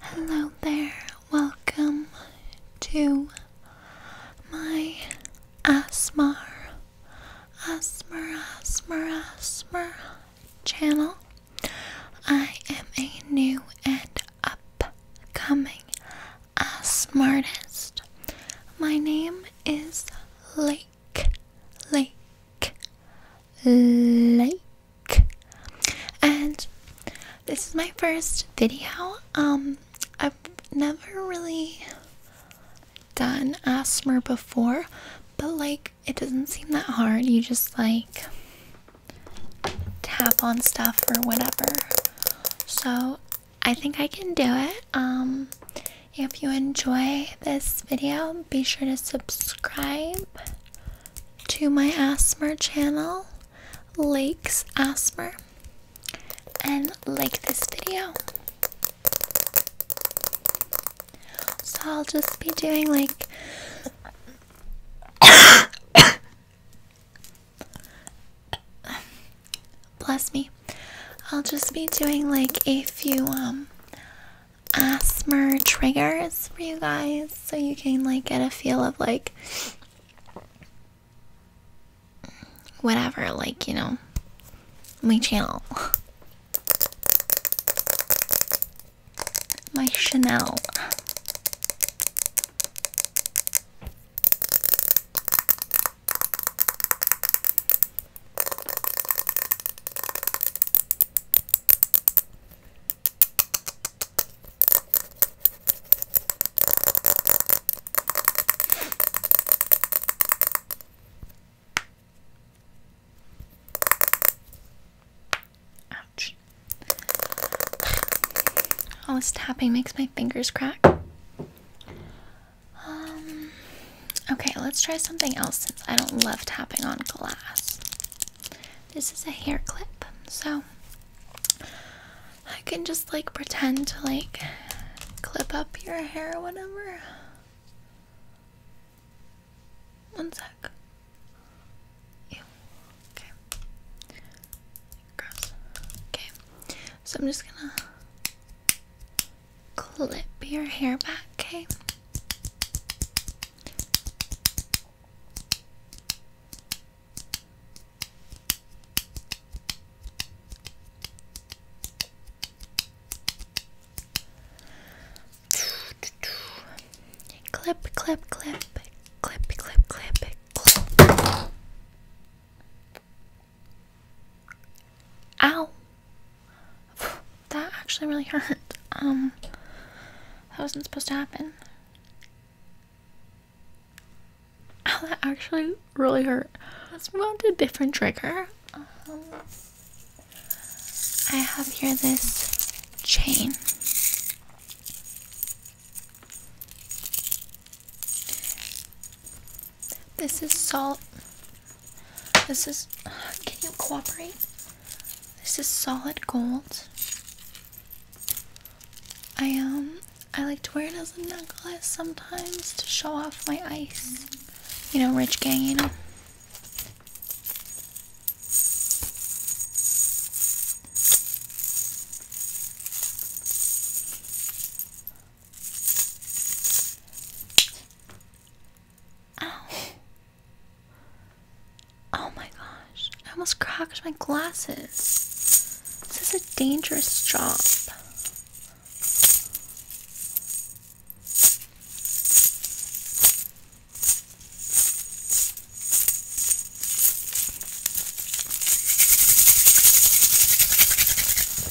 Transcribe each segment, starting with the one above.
Hello there, welcome to my ASMR, ASMR, ASMR, ASMR channel. I am a new and up upcoming ASMRtist. My name is Lake. Like, lake. And this is my first video. Um, I've never really done ASMR before, but like it doesn't seem that hard. You just like tap on stuff or whatever. So I think I can do it. Um, if you enjoy this video, be sure to subscribe to my ASMR channel, Lakes ASMR, and like this video. So I'll just be doing like Bless me. I'll just be doing like a few um asthma triggers for you guys so you can like get a feel of like whatever like you know my channel my Chanel Ouch. All this tapping makes my fingers crack. Um, okay, let's try something else since I don't love tapping on glass. This is a hair clip, so I can just like pretend to like clip up your hair or whatever. One sec. Okay. Gross. Okay. So I'm just gonna clip your hair back, okay? Clip, clip, clip, clip, clip, clip, Ow! That actually really hurt. Um, that wasn't supposed to happen. Ow, that actually really hurt. Let's move a different trigger. Um, I have here this chain. This is salt. This is. Can you cooperate? This is solid gold. I um I like to wear it as a necklace sometimes to show off my ice. You know, rich gang, you know. Ow. Oh my gosh. I almost cracked my glasses. This is a dangerous job.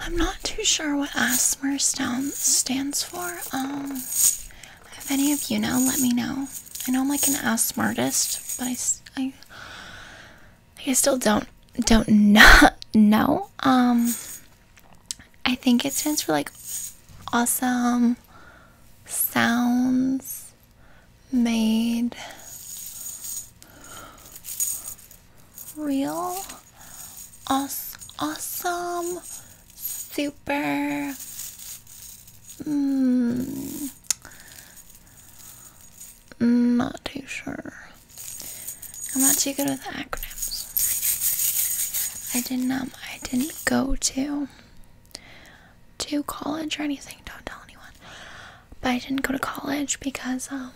I'm not too sure what ASMR stands for. Um, if any of you know, let me know. I know I'm like an ASMR but I, I, I still don't don't know. know. Um, I think it stands for like awesome sounds made real, awes awesome, super. Mm, not too sure. I'm not too good with acronyms. I didn't um I didn't go to to college or anything. Don't tell anyone but I didn't go to college because um,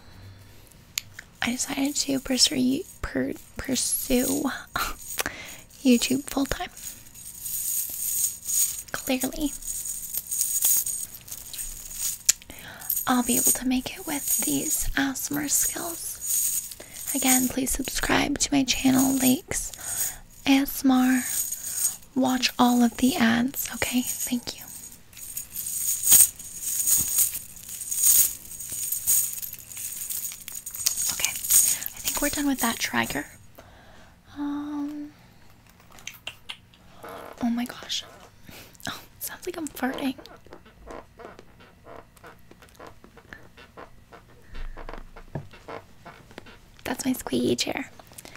I decided to pursue pursue YouTube full time. Clearly, I'll be able to make it with these ASMR skills. Again, please subscribe to my channel, Lakes ASMR. Watch all of the ads, okay? Thank you. Okay, I think we're done with that trigger. Um. Oh my gosh. Oh, sounds like I'm farting. That's my squeaky chair. Okay,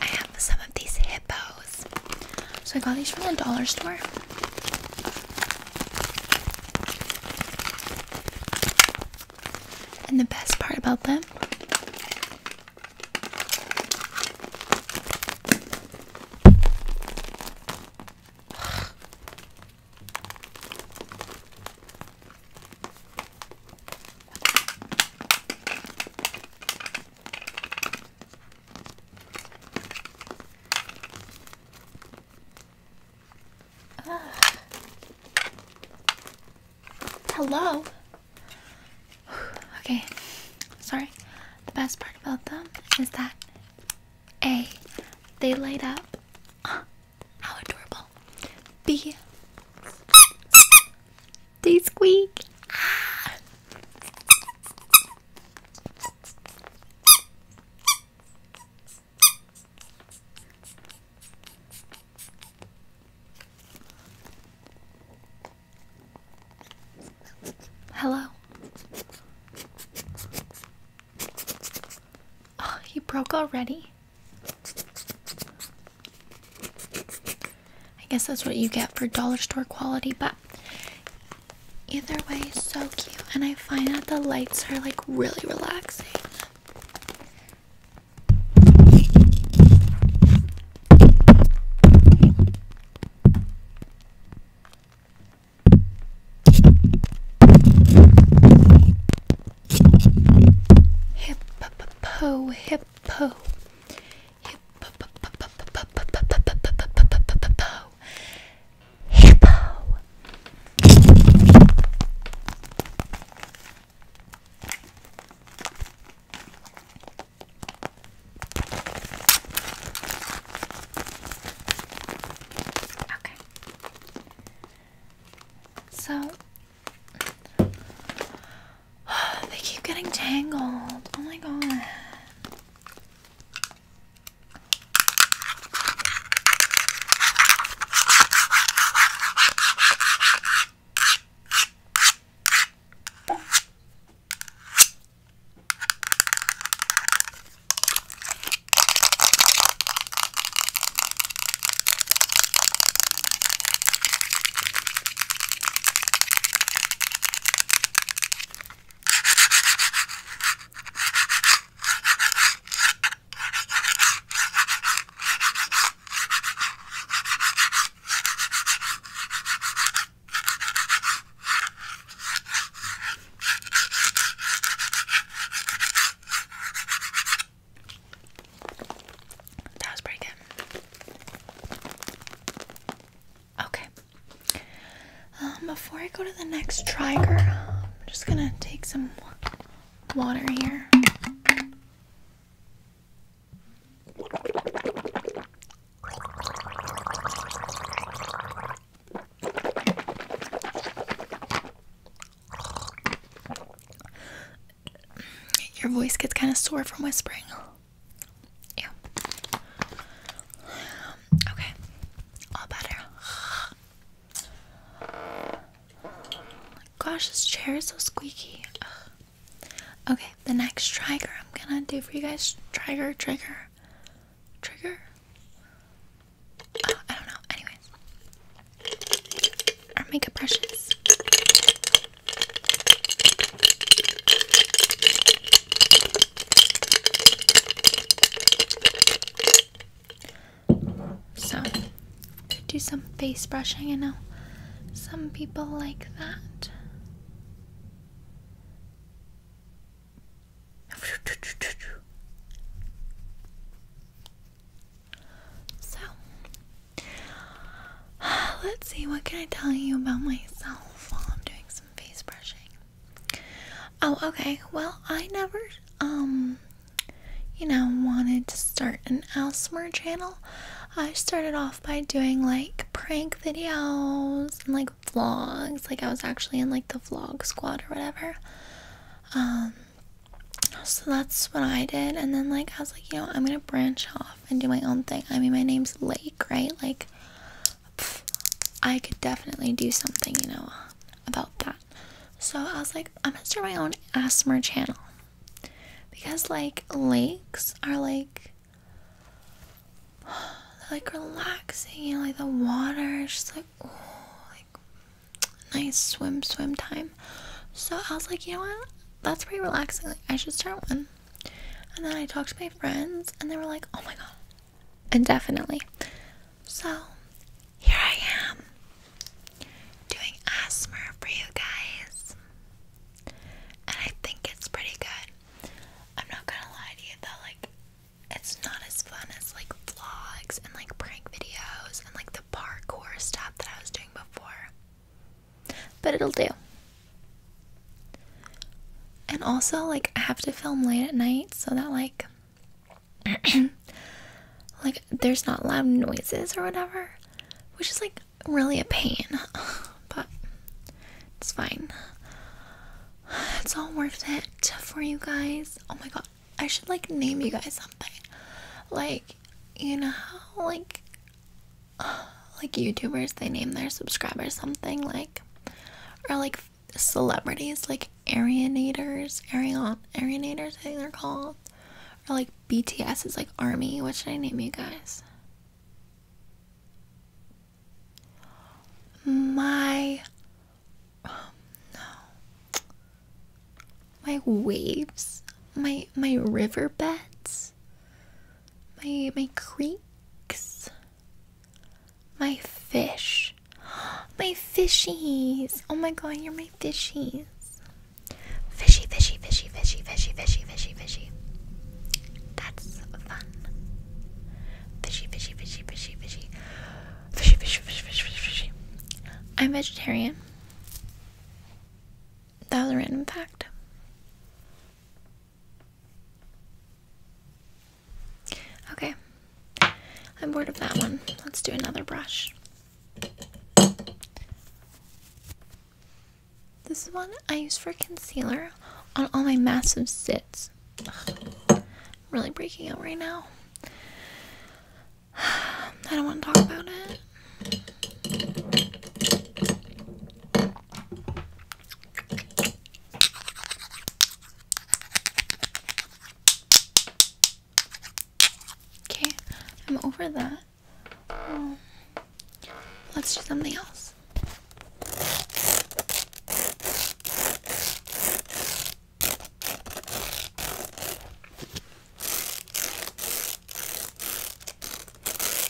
I have some of these hippos. So I got these from the dollar store. And the best part about them Ah. Hello. Okay, sorry. The best part about them is that A, they light up. How adorable. B, they squeak. Hello. Oh, he broke already? I guess that's what you get for dollar store quality, but either way, so cute. And I find that the lights are like really relaxing. Hippo, hippo, hippo hippo Okay. So they keep getting tangled. Oh my god. That was pretty good. Okay. Um, before I go to the next trigger, um, I'm just gonna take some water here your voice gets kind of sore from whispering. Okay. All better. Gosh, this chair is so squeaky. Okay, the next trigger I'm gonna do for you guys trigger, trigger, trigger. Oh, I don't know. Anyways, our makeup brushes. So, do some face brushing. I know some people like that. So, Let's see, what can I tell you about myself while I'm doing some face brushing? Oh, okay. Well, I never, um, you know, wanted to start an ASMR channel. I started off by doing like prank videos and like vlogs. Like, I was actually in like the vlog squad or whatever. Um, so that's what I did. And then, like, I was like, you know, I'm gonna branch off and do my own thing. I mean, my name's Lake, right? Like, I could definitely do something, you know, about that. So I was like, I'm gonna start my own ASMR channel because, like, lakes are like, like relaxing, you know, like the water, is just like, like nice swim, swim time. So I was like, you know what? That's pretty relaxing. Like, I should start one. And then I talked to my friends, and they were like, oh my god, And definitely, So here I am doing ASMR for you guys. And I think it's pretty good. I'm not gonna lie to you that like, it's not as fun as like vlogs and like prank videos and like the parkour stuff that I was doing before. But it'll do. And also, like, I have to film late at night so that, like, like, there's not loud noises or whatever, which is, like, really a pain. but it's fine. It's all worth it for you guys. Oh my god. I should, like, name you guys something. Like, you know, like, like YouTubers, they name their subscribers something like, or like celebrities, like Arianators, Arian, Arianators, I think they're called, or like BTS is like Army. What should I name you guys? My um, no, my waves, my my beds my my creeks, my fish, my fishies. Oh my god, you're my fishies. Fishy, fishy, fishy, fishy, fishy, fishy, fishy, fishy. That's fun. Fishy, fishy, fishy, fishy, fishy. Fishy, fishy, fishy, fishy, fishy. I'm vegetarian that was a random fact. Okay, I'm bored of that one. Let's do another brush. This one I use for concealer on all my massive zits. I'm really breaking out right now. I don't want to talk about it. Okay, I'm over that. let's do something else.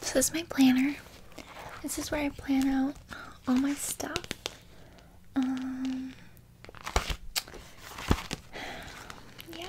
So this is my planner. This is where I plan out all my stuff. Um, yeah.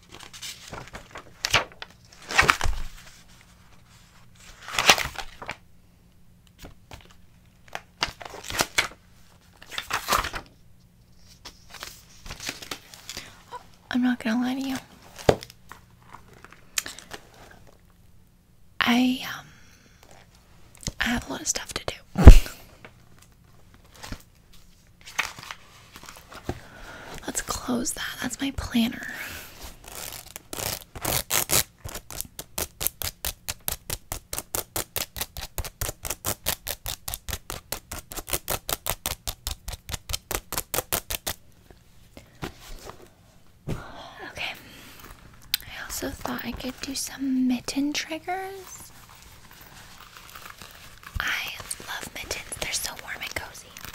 I'm not gonna lie to you. I um I have a lot of stuff to do. Let's close that. That's my planner. Okay. I also thought I could do some mitten triggers. I love mittens. They're so warm and cozy.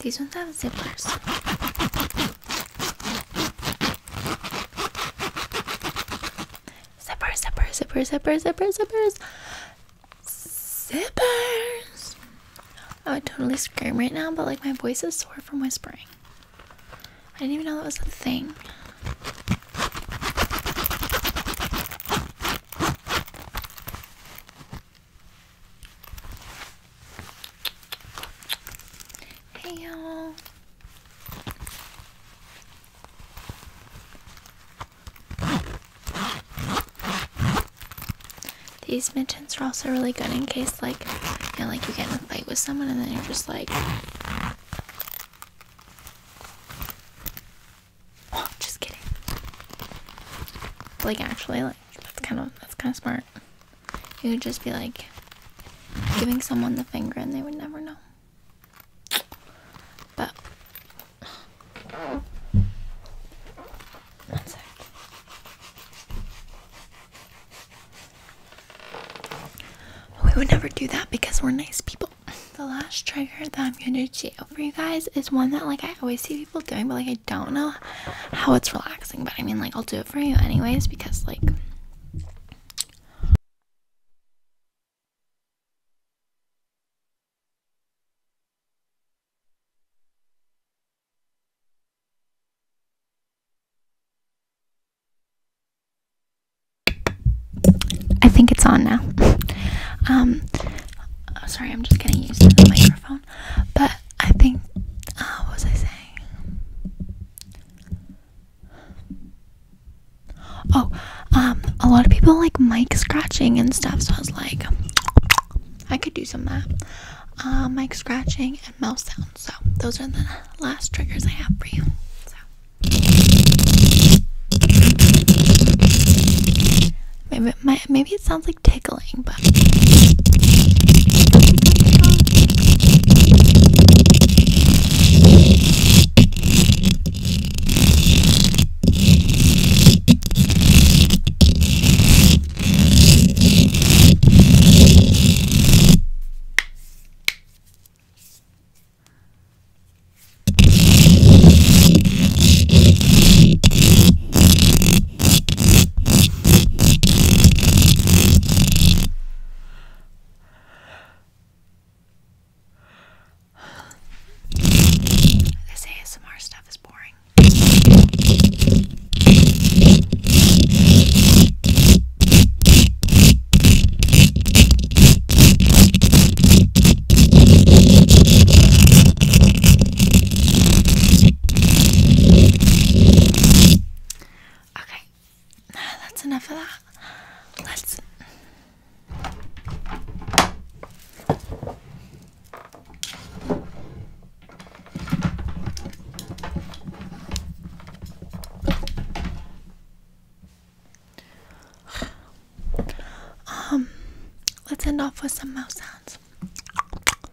These ones have zippers. Zippers, zippers, zippers, zippers, zippers, zippers. Zippers! Oh, I would totally scream right now, but like my voice is sore from whispering. I didn't even know that was a thing. Hey y'all. These mittens are also really good in case like you know like you get in a fight with someone and then you're just like Oh, just kidding. Like actually like that's kind of that's kind of smart. You would just be like giving someone the finger, and they would never know. But oh, We would never do that because we're nice people. The last trigger that I'm gonna do for you guys is one that like I always see doing, but like I don't know how it's relaxing. But I mean, like I'll do it for you anyways because like. I think it's on now. um, sorry, I'm just getting used to the microphone. But I think, uh, what was I saying? Oh, um, a lot of people like mic scratching and stuff, so I was like, I could do some of that. Uh, mic scratching and mouse sounds. So those are the last triggers I have for you. So. Maybe, maybe it sounds like like tickling, but this ASMR stuff is boring. Okay, that's enough of that. Let's. Um, let's end off with some mouse sounds.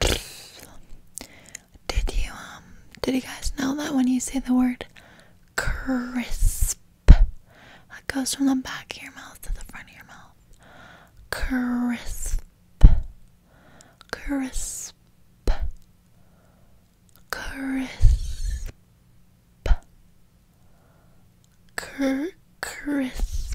Did you um did you guys know that when you say the word crisp it goes from the back of your mouth to the front of your mouth? Crisp crisp crisp crisp crisp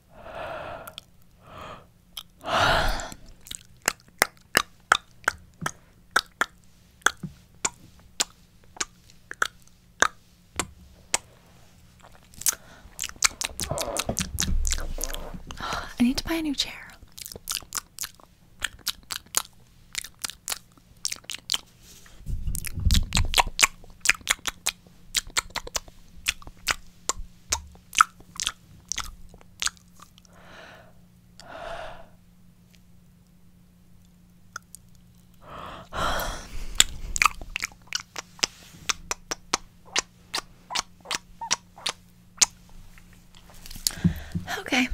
I need to buy a new chair. Okay.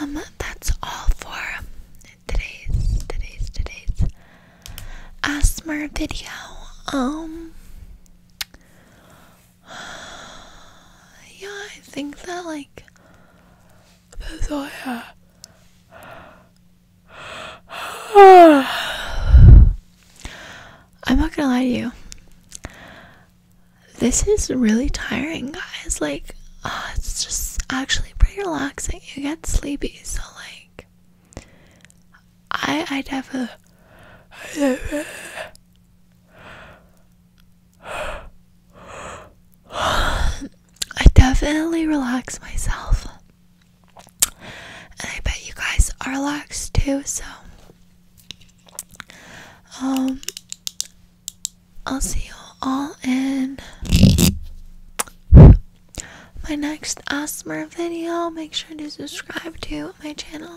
Um that's all for today's today's today's asthma video. Um yeah, I think that like I am not gonna lie to you. This is really tiring, guys. Like, it's just actually pretty relaxing. You get sleepy, so like, I I never. I I definitely relax myself. And I bet you guys are relaxed too, so um I'll see you all in my next ASMR video. Make sure to subscribe to my channel